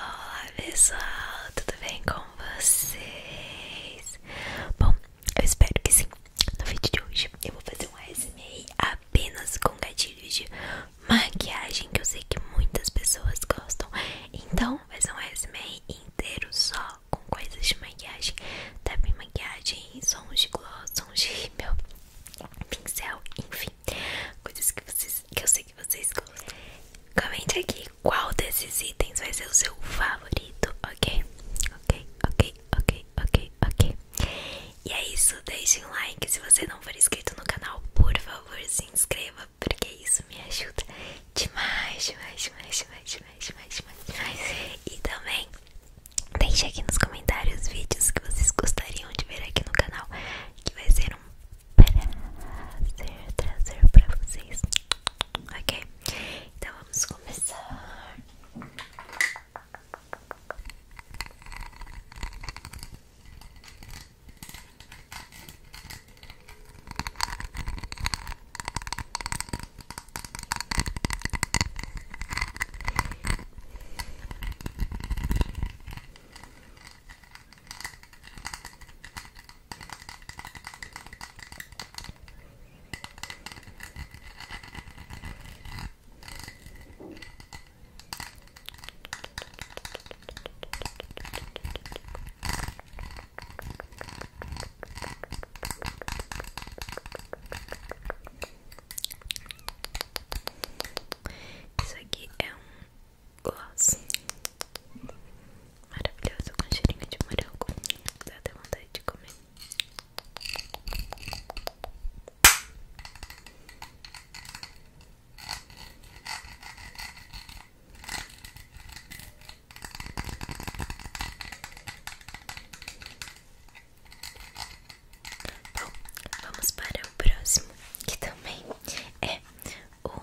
Olá pessoal, tudo bem com vocês? Bom, eu espero que sim. No vídeo de hoje eu vou fazer um ASMR apenas com gatilhos de maquiagem que eu sei que muitas pessoas gostam. Então vai ser um ASMR inteiro só com coisas de maquiagem, também maquiagem, sons de gloss, sons de rímel, pincel, enfim, coisas que vocês que eu sei que vocês gostam. Comente aqui qual desses itens vai ser o seu favorito, ok? Ok, ok, ok, ok, ok. E é isso, deixe um like. Se você não for inscrito no canal, por favor, se inscreva, porque isso me ajuda demais, demais, demais, demais, demais, demais, demais. demais. E também deixe aqui nos comentários vídeos que vocês gostariam de ver aqui no canal, que vai ser um prazer trazer para vocês. Ok? Então vamos começar. Isso aqui é um gloss maravilhoso com cheirinho de morango, dá até vontade de comer. Bom, vamos para o próximo, que também é o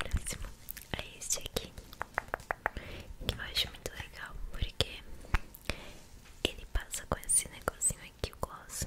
Próximo é este aqui, que eu acho muito legal porque ele passa com esse negocinho aqui, o gloss.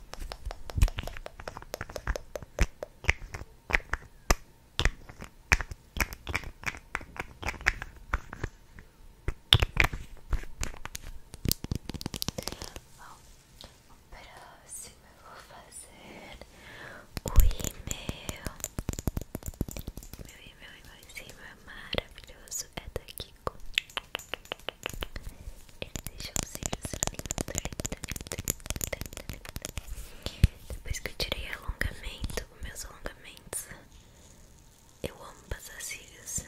Bom, próximo eu vou fazer o e-mail. Meu e-mail, meu e-mailzinho é maravilhoso, é daqui. Ele deixou os cílios lindo, Depois que eu tirei alongamento, meus alongamentos, eu amo passar cílios.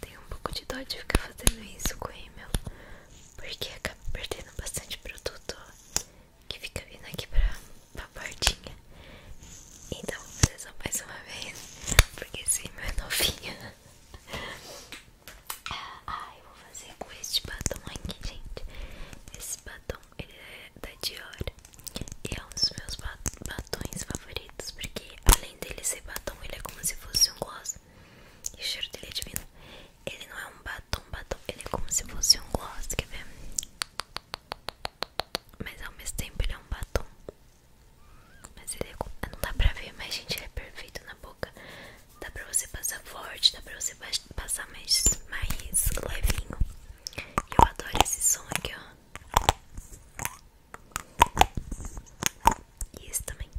Tenho um pouco de dó de ficar fazendo isso com o Emel porque acaba perdendo bastante produto que fica vindo aqui pra, pra portinha. Então, vocês vão mais uma vez, porque esse é meu é novinho. Ah, eu vou fazer com este batom aqui, gente. Esse batom, ele é da Dior e é um dos meus batons favoritos, porque além dele ser batom, ele é como se fosse um gloss. E o cheiro dele é divino. Ele não é um batom, batom, ele é como se fosse um gloss, quer ver? Mas ao mesmo tempo ele é um batom. Mas ele é, não dá pra ver, mas gente, ele é perfeito na boca. Dá pra você passar forte, dá pra você passar mais, mais levinho. Eu adoro esse som aqui, ó. E esse também.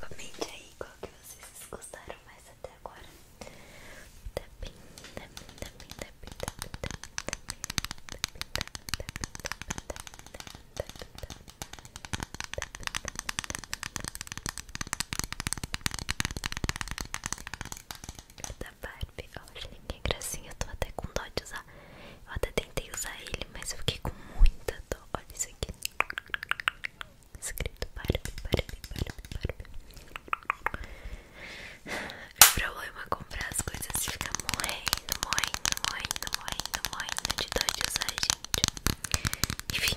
Comente aí qual que vocês gostaram mais até agora tá tá tá tá tá bem bem bem bem até agora. Tapim, tapim, tapim, tapim, tapim, tá tapim, tá da tá olha tá gracinha, tá tô tá com tá de tá Eu tá tentei tá ele, tá eu tá com tá dó tá isso tá Escrito tá Barbie, tá Barbie o problema é comprar as coisas fica ficar morrendo, morrendo, morrendo, morrendo, morrendo de dó de gente. Enfim.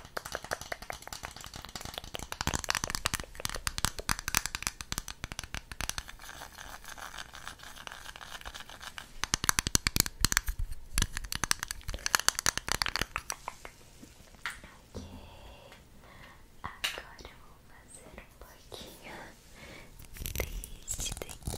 Ok, agora vou fazer um pouquinho deste daqui.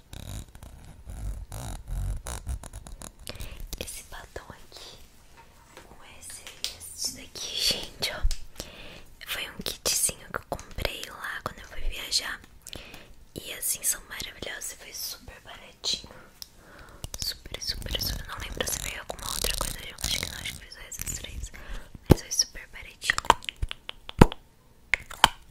Esse batom aqui com esse, esse daqui, gente, ó. Foi um kitzinho que eu comprei lá quando eu fui viajar. E assim são maravilhosos. E foi super baratinho. Super, super, super. Não lembro se veio alguma outra coisa Acho que não, acho que foi só essas três. Mas foi super baratinho.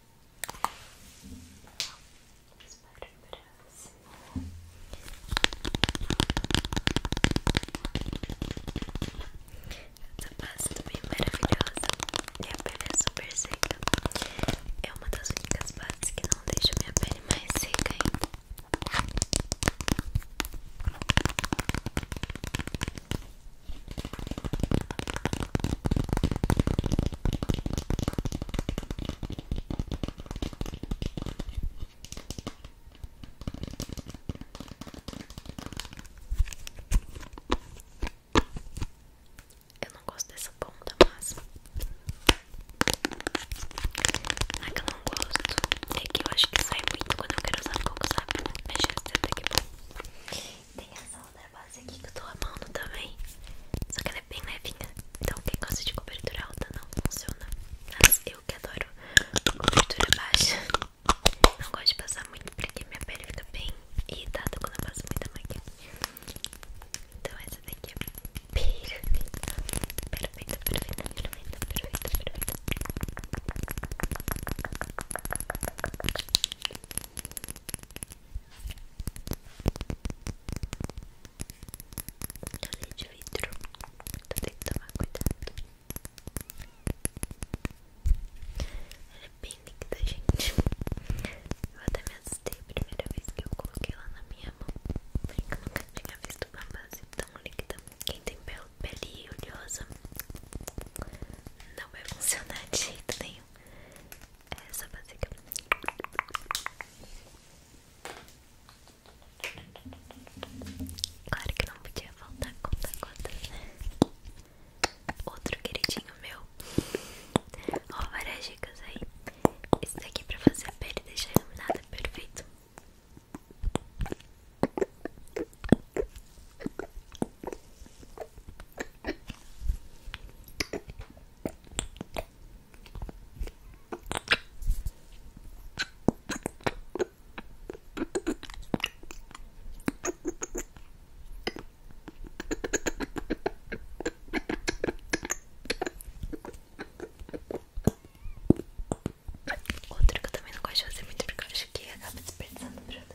Vamos para o Essa base também é maravilhosa. Minha pele é super seca. É uma das únicas partes que não deixa minha pele mais seca ainda. Eu não gosto dessa ponta, mas não que eu não gosto. É que eu acho que sai muito quando eu quero usar pouco, sabe? Mas já está até que Tem essa outra base aqui que eu tô amando também. Só que ela é bem levinha. Então quem gosta de cobertura alta não funciona. Mas eu que adoro cobertura baixa. Não gosto de passar muito porque minha pele fica bem irritada quando eu passo muito maquiagem. Então essa daqui é perfeita. Perfeita, perfeita, perfeita, perfeita, perfeita. Olha de vidro, então tenho que tomar cuidado. Ela é bem linda, gente. Eu até me assustei a primeira vez que eu coloquei ela na minha mão. Porque eu nunca tinha visto uma base tão líquida. Quem tem pele, pele oleosa não vai é funcionar de jeito nenhum é essa básica. Claro que não podia faltar conta conta, né? Outro queridinho meu. Ó, várias dicas aí. Esse daqui é pra fazer a pele deixar iluminada, perfeito. Outro que eu também não gosto de muito porque eu acho que acaba desperdiçando o produto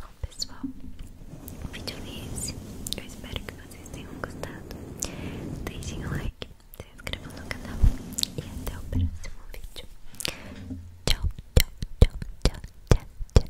Bom pessoal, o vídeo é esse. Eu espero que vocês tenham gostado. Deixem o like, se inscrevam no canal e até o próximo vídeo. Tchau, tchau, tchau, tchau, tchau, tchau.